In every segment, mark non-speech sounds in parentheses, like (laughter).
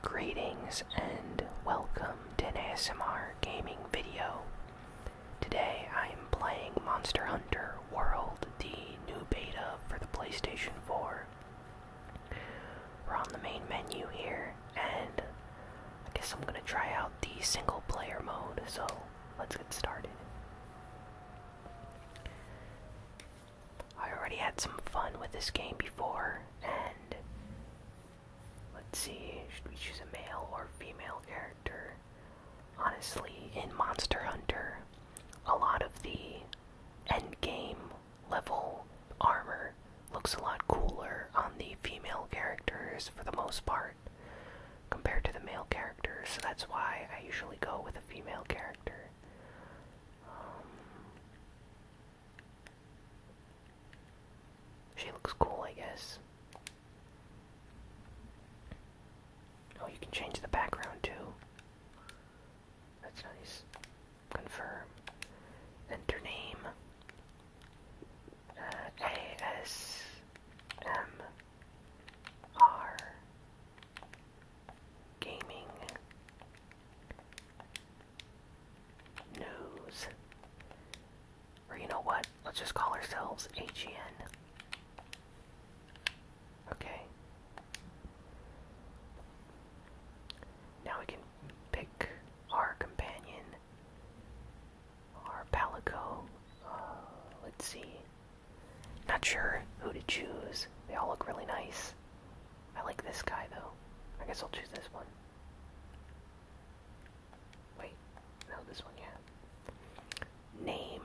Greetings and welcome to an ASMR gaming video. Today I am playing Monster Hunter World, the new beta for the PlayStation 4. We're on the main menu here, and I guess I'm gonna try out the single player mode, so let's get started. I already had some fun with this game before, and let's see, should we choose a male or female character? Honestly, in Monster Hunter, a lot of the end game level armor looks a lot cooler on the female characters for the most part compared to the male characters, so that's why I usually go with a female character. Um, she looks cool, I guess. Oh, you can change the background too. That's nice. Confirm. Enter name. Uh, A S M R Gaming Nose. Or you know what? Let's just call ourselves HEN. Okay. Now we can pick our companion, our Palico. Uh, let's see. Not sure who to choose. They all look really nice. I like this guy though. I guess I'll choose this one. Wait, no, this one, yeah. Name.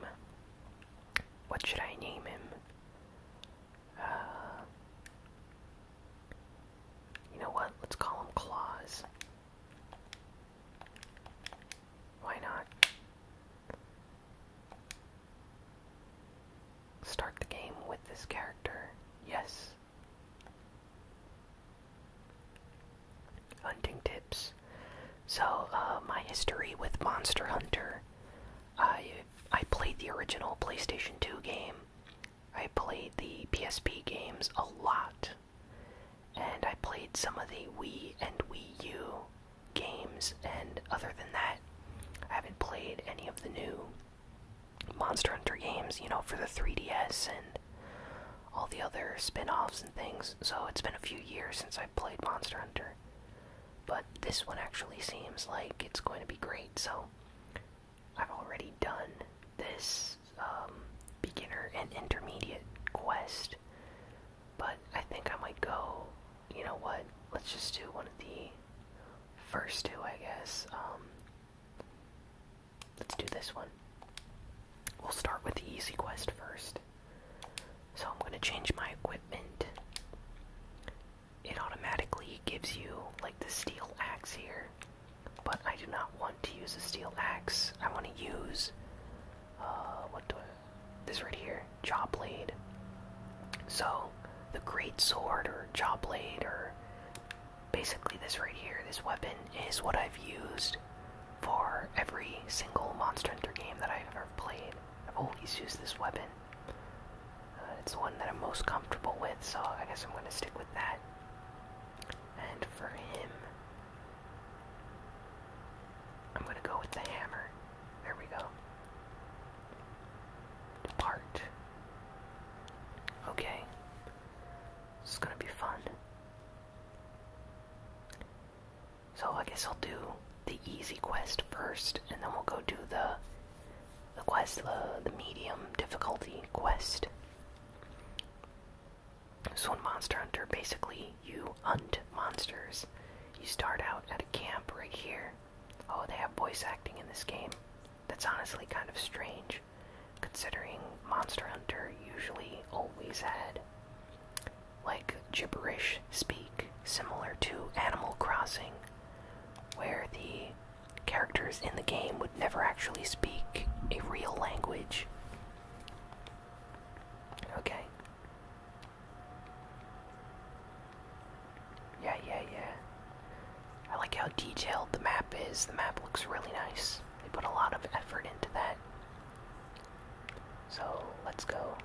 What should I name him? Uh, you know what? Let's call him Claws. Why not? Start the game with this character. Yes. Hunting tips. So, uh, my history with Monster Hunter. I I played the original PlayStation 2 game. I played the PSP games a lot. And I played some of the Wii and Wii U games, and other than that, I haven't played any of the new Monster Hunter games, you know, for the 3DS and all the other spin offs and things. So it's been a few years since I've played Monster Hunter. But this one actually seems like it's going to be great. So I've already done this um, beginner and intermediate quest. But I think I might go you know what? Let's just do one of the first two, I guess. Um, let's do this one. We'll start with the easy quest first. So I'm going to change my equipment. It automatically gives you like the steel axe here, but I do not want to use a steel axe. I want to use uh, what do This right here, jaw blade. So the great sword or jaw blade or basically this right here, this weapon is what I've used for every single Monster Hunter game that I've ever played. I've always used this weapon. Uh, it's the one that I'm most comfortable with, so I guess I'm going to stick with that. And for him, I'm going to go with the hammer. There we go. Depart. Okay. This is gonna be fun. So I guess I'll do the easy quest first, and then we'll go do the the quest, the, the medium difficulty quest. So in Monster Hunter, basically you hunt monsters. You start out at a camp right here, Oh, they have voice acting in this game. That's honestly kind of strange, considering Monster Hunter usually always had, like, gibberish speak, similar to Animal Crossing, where the characters in the game would never actually speak a real language. Okay. Yeah, yeah, yeah. I like how detailed the map is. The map looks really nice. They put a lot of effort into that. So, let's go.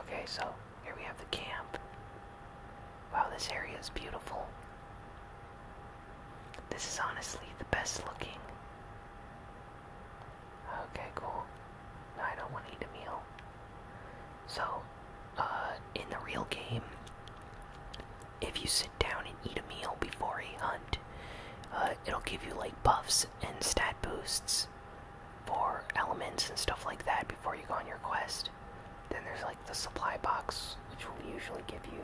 Okay, so here we have the camp. Wow, this area is beautiful. This is honestly the best looking. Okay, cool. No, I don't want to eat a meal. So, uh, in the real game, if you sit down and eat a meal before a hunt, uh, it'll give you like buffs and stat boosts for elements and stuff like that before you go on your quest. Then there's like the supply box, which will usually give you,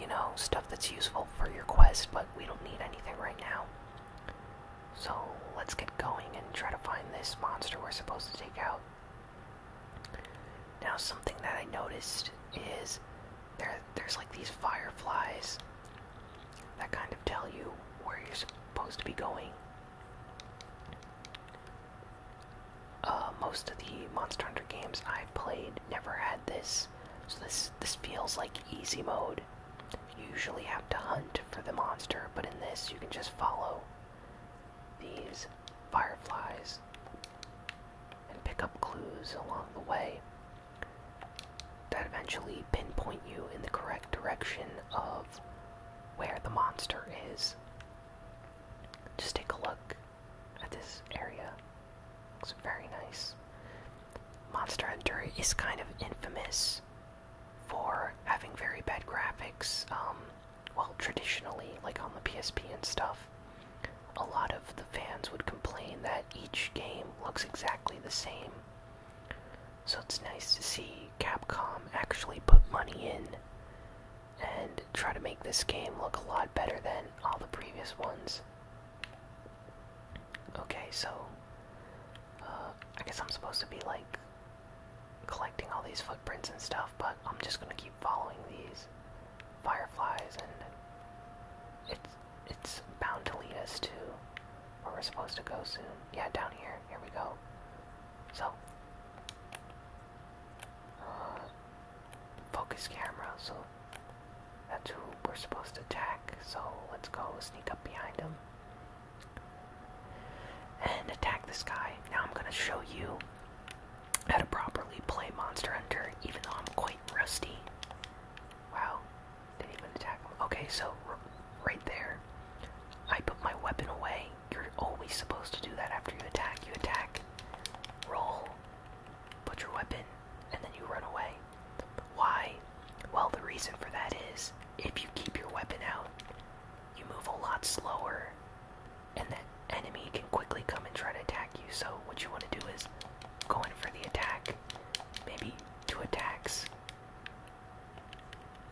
you know, stuff that's useful for your quest, but we don't need anything right now. So let's get going and try to find this monster we're supposed to take out. Now something that I noticed is there there's like these fireflies that kind of tell you where you're supposed to be going. Uh, most of the Monster Hunter games I've played never had this, so this this feels like easy mode. You usually have to hunt for the monster, but in this you can just follow these fireflies and pick up clues along the way that eventually pinpoint you in the correct direction of where the monster is. Just take a look at this area. Looks very nice. Monster Hunter is kind of infamous for having very bad graphics. Um, well, traditionally, like on the PSP and stuff, a lot of the fans would complain that each game looks exactly the same. So it's nice to see Capcom actually put money in and try to make this game look a lot better than all the previous ones. Okay, so uh, I guess I'm supposed to be like collecting all these footprints and stuff, but I'm just gonna keep following these fireflies, and it's it's bound to lead us to where we're supposed to go soon. Yeah, down here. Here we go. So, uh, focus camera. So that's who we're supposed to attack. So let's go sneak up behind them and attack this guy. Now I'm gonna show you how to properly play Monster Hunter, even though I'm quite rusty. Wow, didn't even attack Okay, so right there, I put my weapon away. You're always supposed to do that after you attack. You attack, roll, put your weapon, and then you run away. Why? Well, the reason for that is if you keep your weapon out, you move a lot slower, and that enemy can quickly come and try to attack you. So, what you want to do is go in for the attack, maybe two attacks,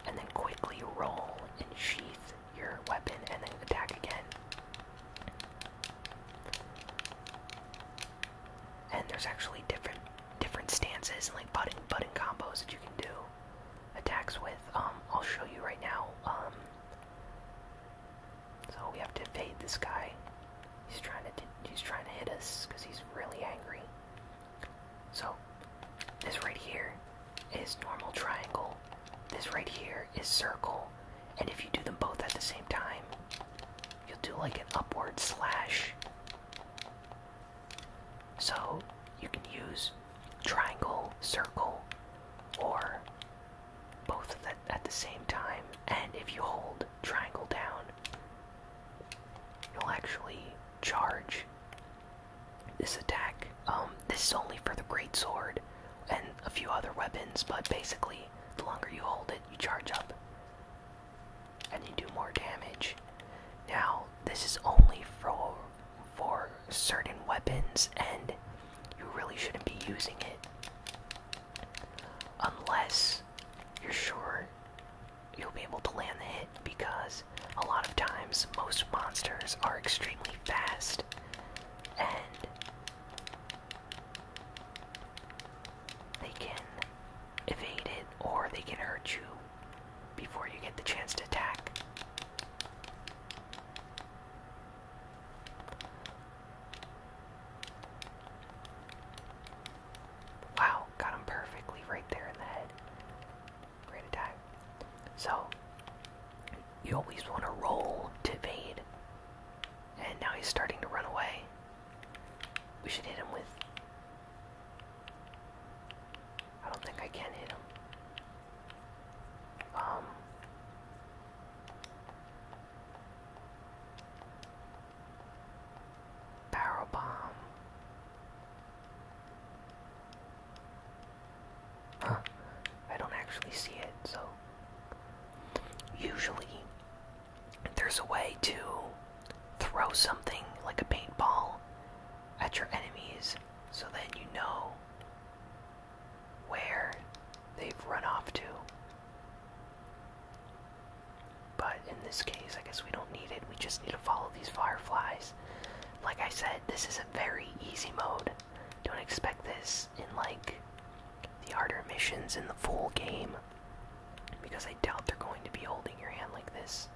and then quickly roll and sheath your weapon and then attack again and there's actually different different stances and like button button combos that you can do attacks with. Um, I'll show you right now. Um, so we have to evade this guy. He's trying to he's trying to hit us because he's really angry. So this right here is normal triangle. This right here is circle, and if you do them both at the same time, you'll do like an upward slash. So you can use triangle, circle, or both of that at the same time. And if you hold triangle down, you'll actually charge this attack. Um, this is only for the great sword and a few other weapons, but basically, the longer you hold it, you charge up and you do more damage. Now, this is only for for certain weapons and you really shouldn't be using it unless you're sure you'll be able to land the hit because a lot of times most monsters are extremely fast and they can evade it or they can hurt you before you get the chance to attack. Wow, got him perfectly right there in the head. Great attack. So, you always want to roll to evade. And now he's starting to run away. We should hit him with I don't think I can hit him. Um. Barrel bomb. Huh. I don't actually see it, so. Usually, there's a way to throw something like a paintball at your enemies so that you know where they've run off to. But in this case, I guess we don't need it. We just need to follow these fireflies. Like I said, this is a very easy mode. Don't expect this in like the harder missions in the full game. Because I doubt they're going to be holding your hand like this.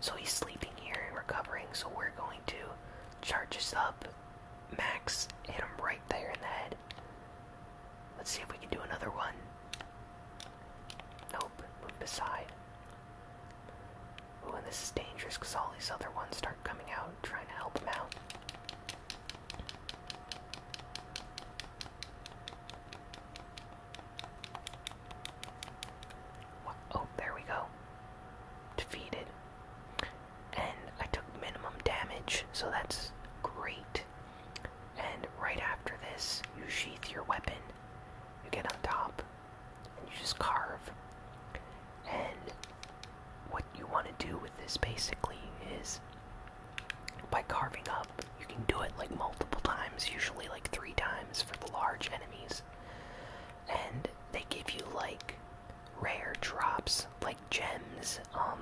So he's sleeping here and recovering, so we're going to charge us up. Max, hit him right there in the head. Let's see if we can do another one. Nope, move beside. Ooh, and this is dangerous because all these other ones start coming out trying to help him out. Oh, there we go. Defeated. And I took minimum damage, so that's great. And right after this, you sheath your weapon, you get on top, and you just carve. And what you want to do with this basically is by carving up. You can do it like multiple times, usually like three times for the large enemies. And they give you like rare drops, like gems, um,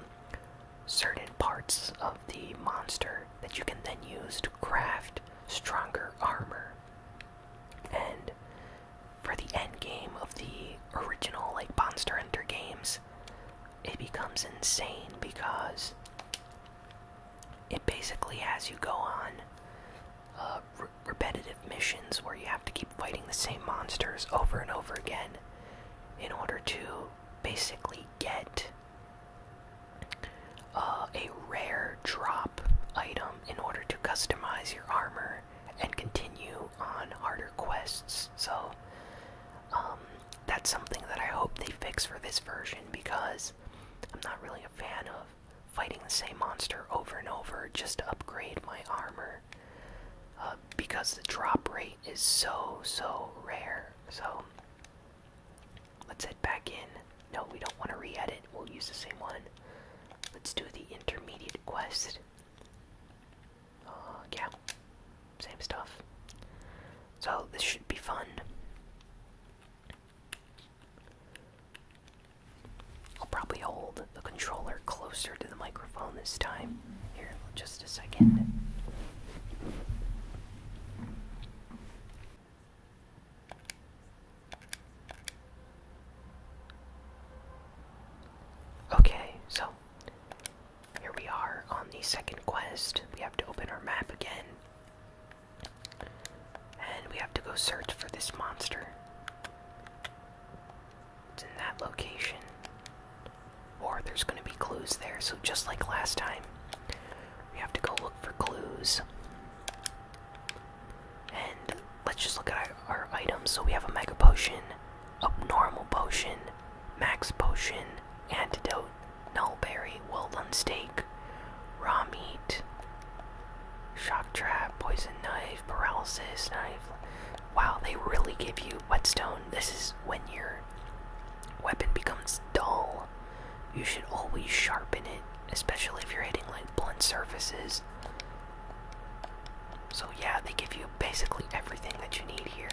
certain parts of the monster that you can then use to craft stronger armor. And for the end game of the original, like Monster Hunter games, it becomes insane because it basically has you go on uh, repetitive missions where you have to keep fighting the same monsters over and over again in order to basically get uh, a rare drop item in order to customize your armor and continue on harder quests. So, um, that's something that I hope they fix for this version because I'm not really a fan of fighting the same monster over and over just to upgrade my armor uh, because the drop rate is so, so rare. So let's head back in. No, we don't want to re edit, we'll use the same one. Let's do the intermediate quest. Uh, yeah, same stuff. So this should be fun. I'll probably hold the controller closer to the microphone this time. Here, just a second. Okay, so here we are on the second quest. We have to open our map again and we have to go search for this monster. It's in that location. Or there's going to be clues there. So, just like last time, we have to go look for clues. And let's just look at our, items. So, we have a mega potion, a normal potion, Max Potion, Antidote, Nullberry, Weldon Steak, Raw Meat, Shock Trap, Poison Knife, Paralysis Knife. Wow, they really give you Whetstone. This is when your weapon becomes dull. You should always sharpen it, especially if you're hitting like blunt surfaces. So yeah, they give you basically everything that you need here.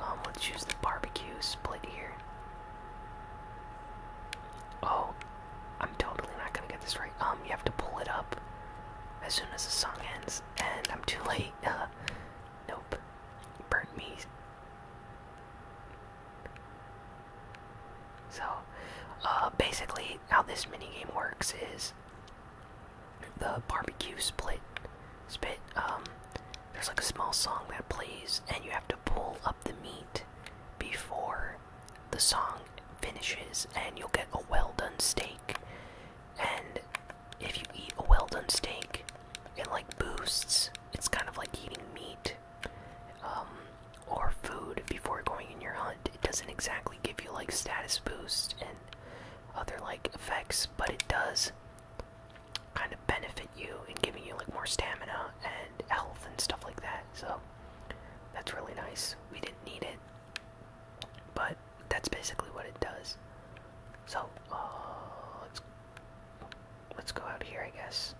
Um, let's use the barbecue split here. Oh, I'm totally not gonna get this right. Um, you have to pull it up as soon as the song ends, and I'm too late. (laughs) Uh, nope. burn me. So, uh, basically, how this mini game works is the barbecue split, spit, um, there's like a small song that plays, and you have to pull up the meat before the song finishes, and you'll get a well done steak. And if you eat a well done steak, it like boosts. It's kind of like eating meat um, or food before going in your hunt. It doesn't exactly give you like status boost and other like effects, but it does kind of benefit you and giving you like more stamina and health and stuff like that. So that's really nice. We didn't need it, but that's basically what it does. So uh, let's let's go out here, I guess,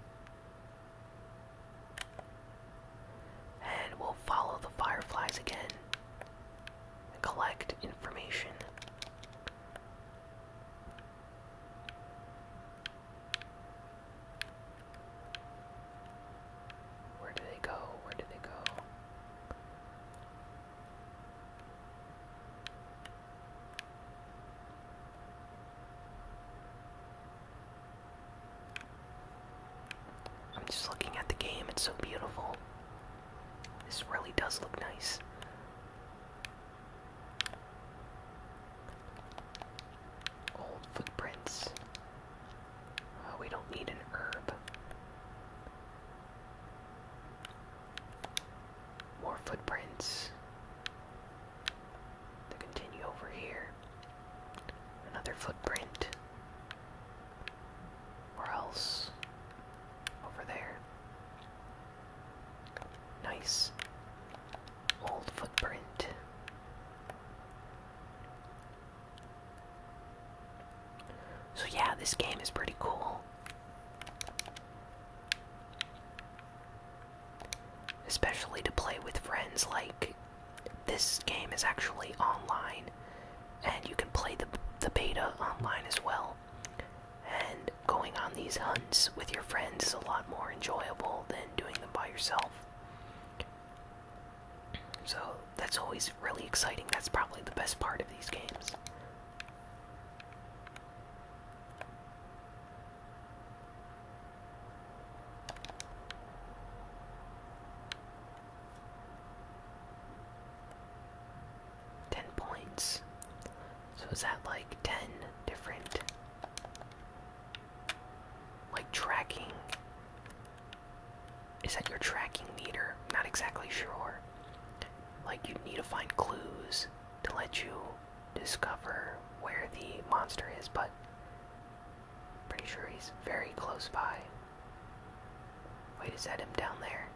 and we'll follow the fireflies again and collect information. Where did they go? Where did they go? I'm just looking at the game, it's so beautiful. This really does look nice. Old footprints. Oh, we don't need an herb. More footprints. To continue over here. Another footprint. Or else over there. Nice old footprint. So, yeah, this game is pretty cool. Especially to play with friends, like, this game is actually online, and you can play the, the beta online as well. And going on these hunts with your friends is a lot more enjoyable than doing them by yourself. So that's always really exciting. That's probably the best part of these games. 10 points. So is that like 10 different like tracking? Is that your tracking meter? Not exactly sure. Like you need to find clues to let you discover where the monster is, but pretty sure he's very close by. Wait, is that him down there?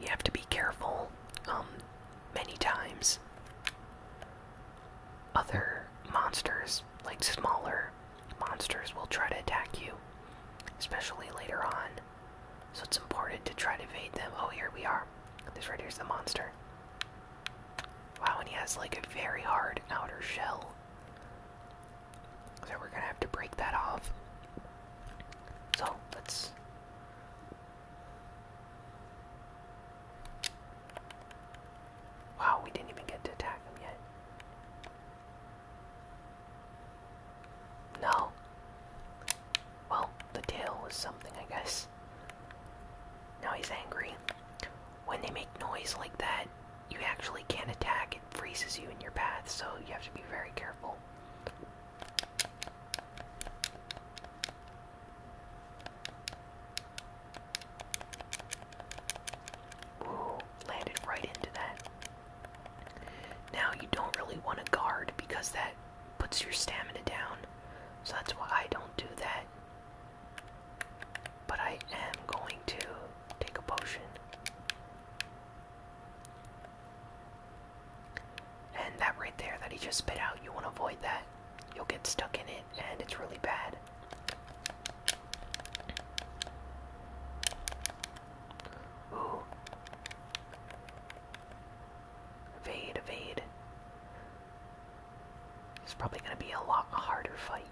You have to be careful, um, many times. Other monsters, like smaller monsters, will try to attack you, especially later on. So it's important to try to evade them. Oh, here we are. This right here's the monster. Wow, and he has like a very hard outer shell. So we're gonna have to break that off. So let's. Wow, we didn't even get to attack him yet. No. Well, the tail was something, I guess. Now he's angry. When they make noise like that, you actually can't attack. It freezes you in your path, so you have to be very careful. Ooh, landed right into that. Now you don't really want to guard because that puts your stamina down. So that's why I don't do that. But I am going to take a potion. And that right there that he just spit out, you want to avoid that. You'll get stuck in it, and it's really bad. Ooh. Evade, evade. It's probably going to be a lot harder fight.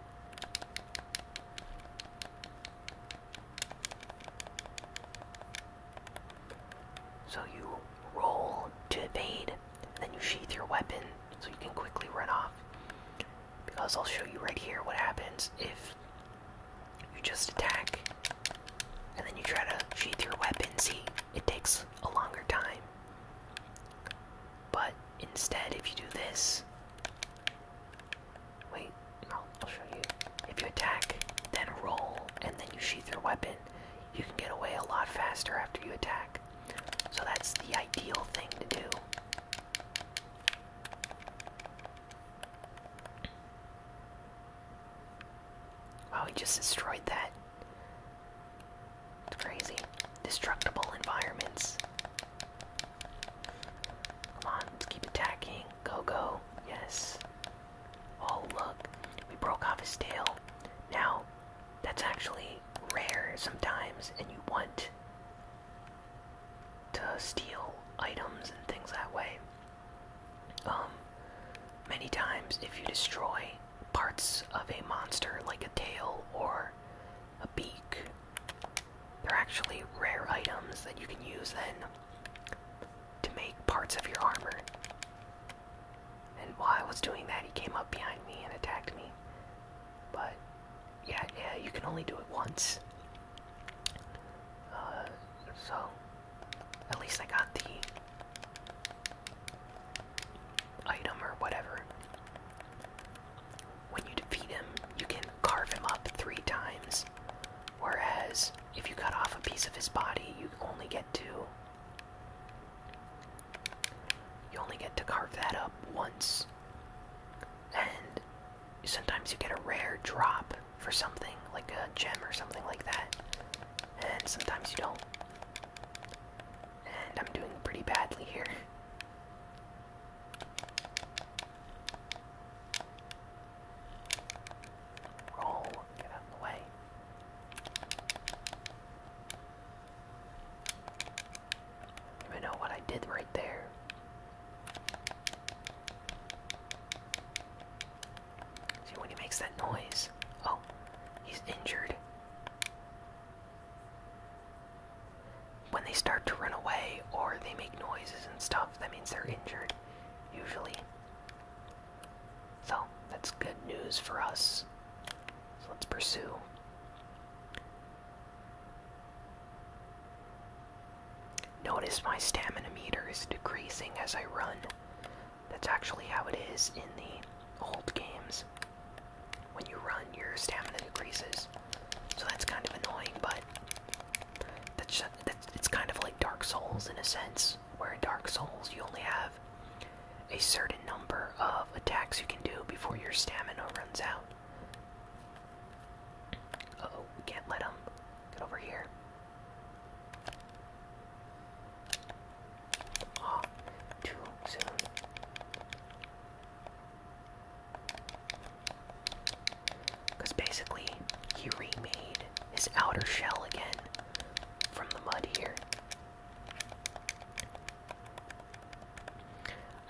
So you roll to evade, and then you sheath your weapon so you can quickly run off. Because I'll show you right here what happens if you just attack, and then you try to sheath your weapon. See, it takes a longer time. But instead, if you do this, wait, I'll show you. If you attack, then roll, and then you sheath your weapon, you can get away a lot faster after you attack. So that's the ideal thing to do. Wow, he just destroyed that. It's crazy. Destructible environments. Come on, let's keep attacking. Go, go. Yes. Oh, look. We broke off his tail. Now, that's actually rare sometimes, and you want to steal items and things that way. Um, many times, if you destroy parts of a monster, like a tail or a beak, they're actually rare items that you can use then to make parts of your armor. And while I was doing that, he came up behind me and attacked me. But yeah, yeah, you can only do it once. Uh, so at least I got the item or whatever. When you defeat him, you can carve him up three times. Whereas, if you cut off a piece of his body, you only get to. You only get to carve that up once. And sometimes you get a rare drop for something, like a gem or something like that. And sometimes you don't. And I'm doing pretty badly here. Roll, get out the way. I know what I did right there. See when he makes that noise. Oh, he's injured. When they start to run away or they make noises and stuff, that means they're injured, usually. So, that's good news for us. So let's pursue. Notice my stamina meter is decreasing as I run. That's actually how it is in the old games. When you run, your stamina decreases. So that's kind of annoying, but that's, it's kind of like Dark Souls in a sense, where in Dark Souls you only have a certain number of attacks you can do before your stamina runs out. oh, can't let him. Get over here. Ah, too soon. Because basically, he remade his outer shell again from the mud here.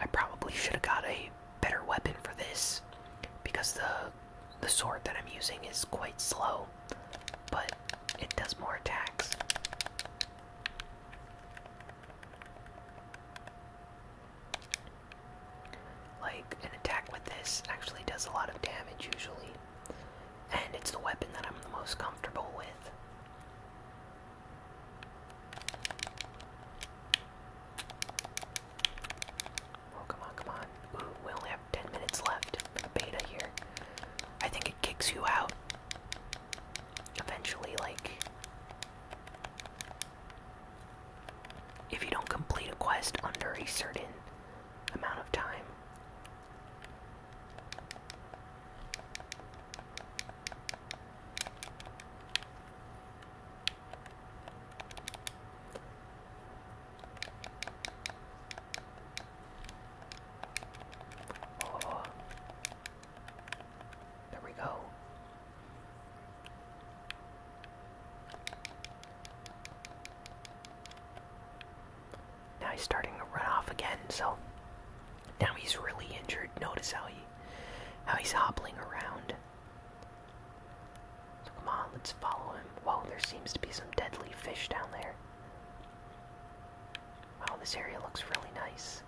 I probably should have got a better weapon for this because the the sword that I'm using is quite slow, but it does more attacks. Like, an attack with this actually does a lot of damage usually, and it's the weapon that I'm the most comfortable with. Oh, come on, come on. we only have 10 minutes left for the beta here. I think it kicks you out. Eventually, like. If you don't complete a quest under a certain amount of time. Oh. There we go. Now he's starting to run off again, so now he's really injured. Notice how he how he's hobbling around. So come on, let's follow him. Whoa, there seems to be some deadly fish down there. Wow, this area looks really nice.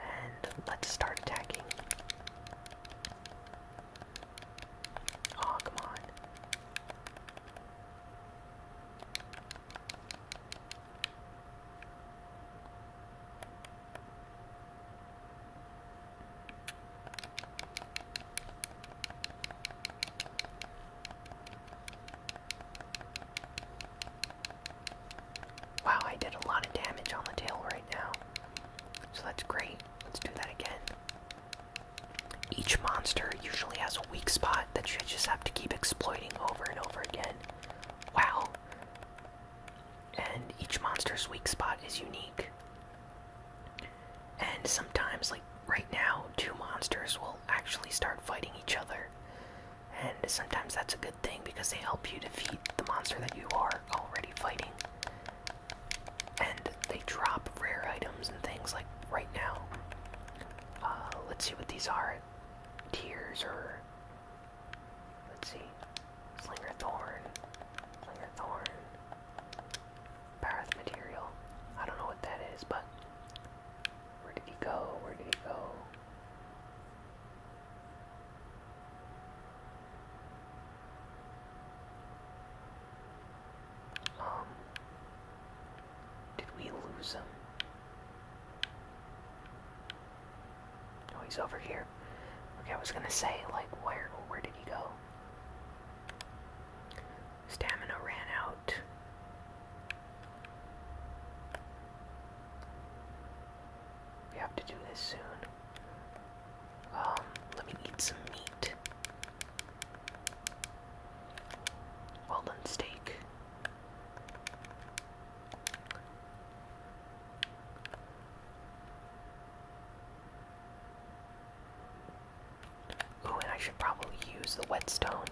And let's start attacking. Oh, come on. Wow, I did a lot of damage on the tail right now. So that's great. Let's do that again. Each monster usually has a weak spot that you just have to keep exploiting over and over again. Wow. And each monster's weak spot is unique. And sometimes, like right now, two monsters will actually start fighting each other. And sometimes that's a good thing because they help you defeat the monster that you are already fighting. And they drop rare items and things like right now. Uh, let's see what these are. Tears or. Let's see. Slinger Thorn. Slinger Thorn. Path material. I don't know what that is, but where did he go? Where did he go? Um, did we lose him? Oh, he's over here. Okay, I was gonna say, like, where, where did he go? Stamina ran out. We have to do this soon. Um, let me eat some meat. Well done steak. Ooh, and I should probably use the whetstone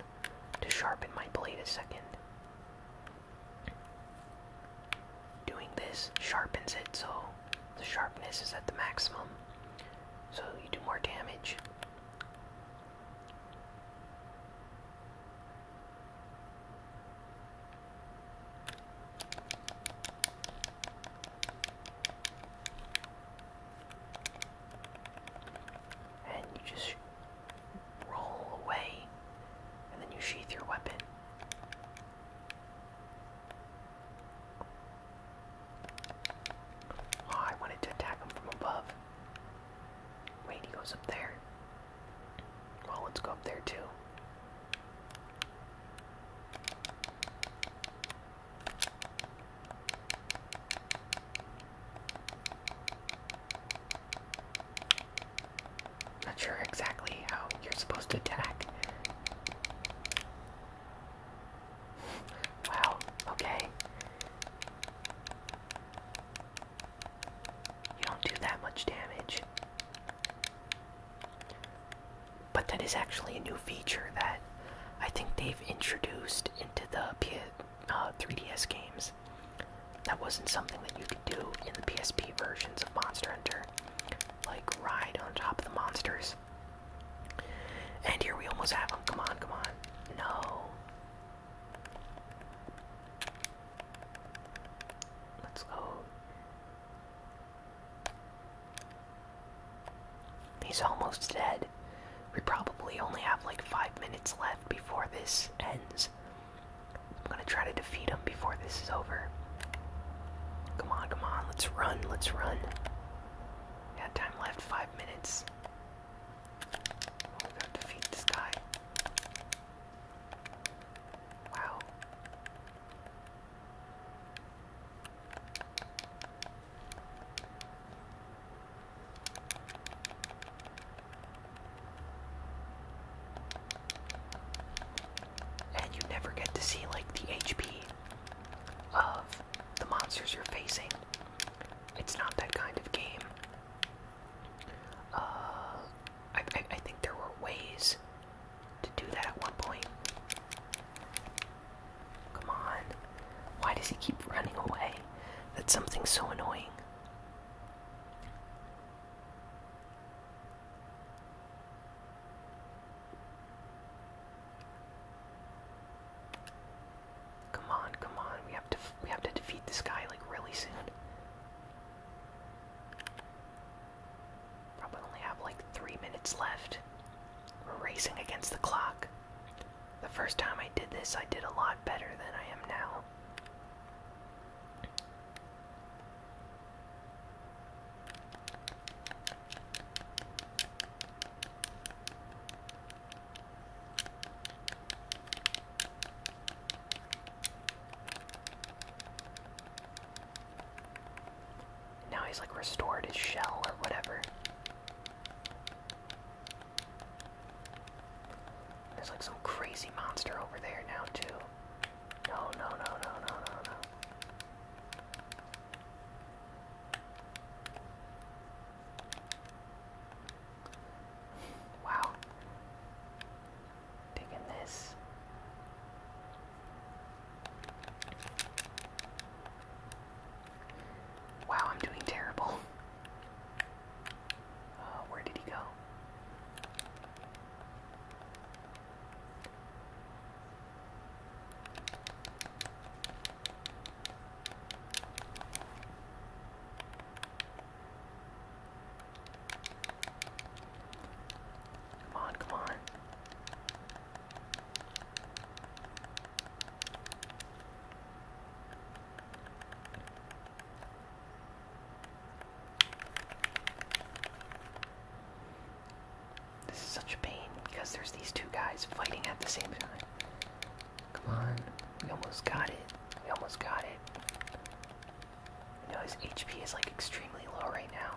to sharpen my blade a second. Doing this sharpens it, so the sharpness is at the maximum, so you do more damage. And you just roll away, and then you sheath your weapon. Oh, I wanted to attack him from above. Wait, he goes up there. Well, let's go up there too. Not sure exactly how you're supposed to attack. (laughs) wow, okay. You don't do that much damage. But that is actually a new feature that I think they've introduced into the 3DS uh, games. That wasn't something that you could do in the PSP versions of Monster Hunter, like ride on top of the monsters. And here we almost have them. Come on, come on. No. Let's go. He's almost dead. We probably only have like five minutes left before this ends. I'm gonna try to defeat him before this is over. Come on, come on, let's run, let's run. Got time left, five minutes. We're to defeat this guy. Wow. And you never get to see like the HP of the monsters you're facing. It's not that kind of game. Uh, I think there were ways to do that at one point. Come on. Why does he keep running away? That's something so annoying. Come on, come on. We have to we have to defeat this guy like really soon. Probably only have like three minutes left. We're racing against the clock. The first time I did this, I did a lot better than I am now. Now he's like restored his shell or whatever. There's like some crazy monster over there now too. No, no, no, no, no, no, Wow. Digging this. Wow, I'm doing terrible. (laughs) Oh, where did he go? Come on, come on. This is such a pain because there's these two guys fighting at the same time. Come on, we almost got it. We almost got it. You know his HP is like extremely low right now.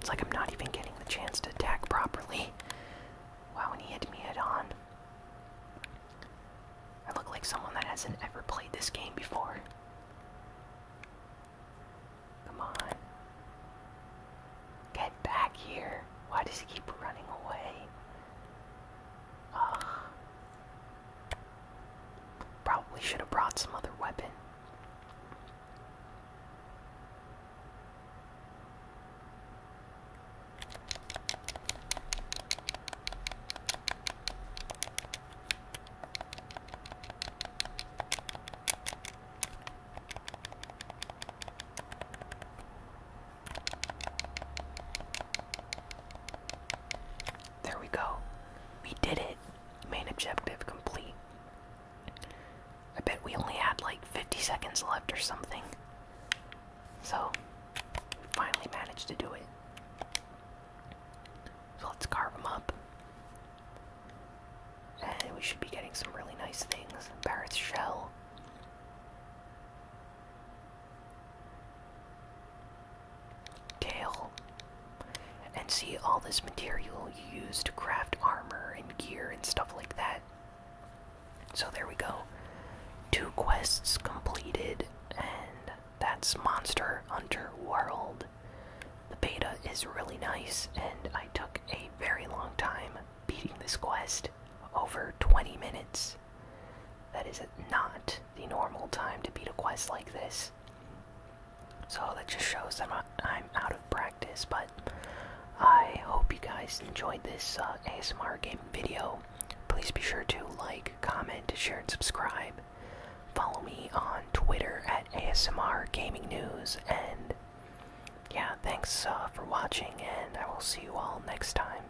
It's like I'm not even getting the chance to attack properly. Wow, and he hit me head on. I look like someone that hasn't ever played this game before. Come on. Get back here. Why does he keep running away? Ugh. Probably should have brought some other weapon. There we go. We did it. Main objective complete. I bet we only had like 50 seconds left or something. So, finally managed to do it. So let's carve them up. And we should be getting some really nice things. Barrett's shell tail and see all this material you use to craft armor and gear and stuff like that. So there we go. Two quests completed, and that's Monster Underworld. The beta is really nice, and I took a very long time beating this quest over 20 minutes. That is not the normal time to beat a quest like this. So that just shows that I'm out of practice, but I hope you guys enjoyed this uh, ASMR game video. Please be sure to like, comment, share, and subscribe. Follow me on Twitter at ASMR Gaming News, and yeah, thanks uh, for watching, and I will see you all next time.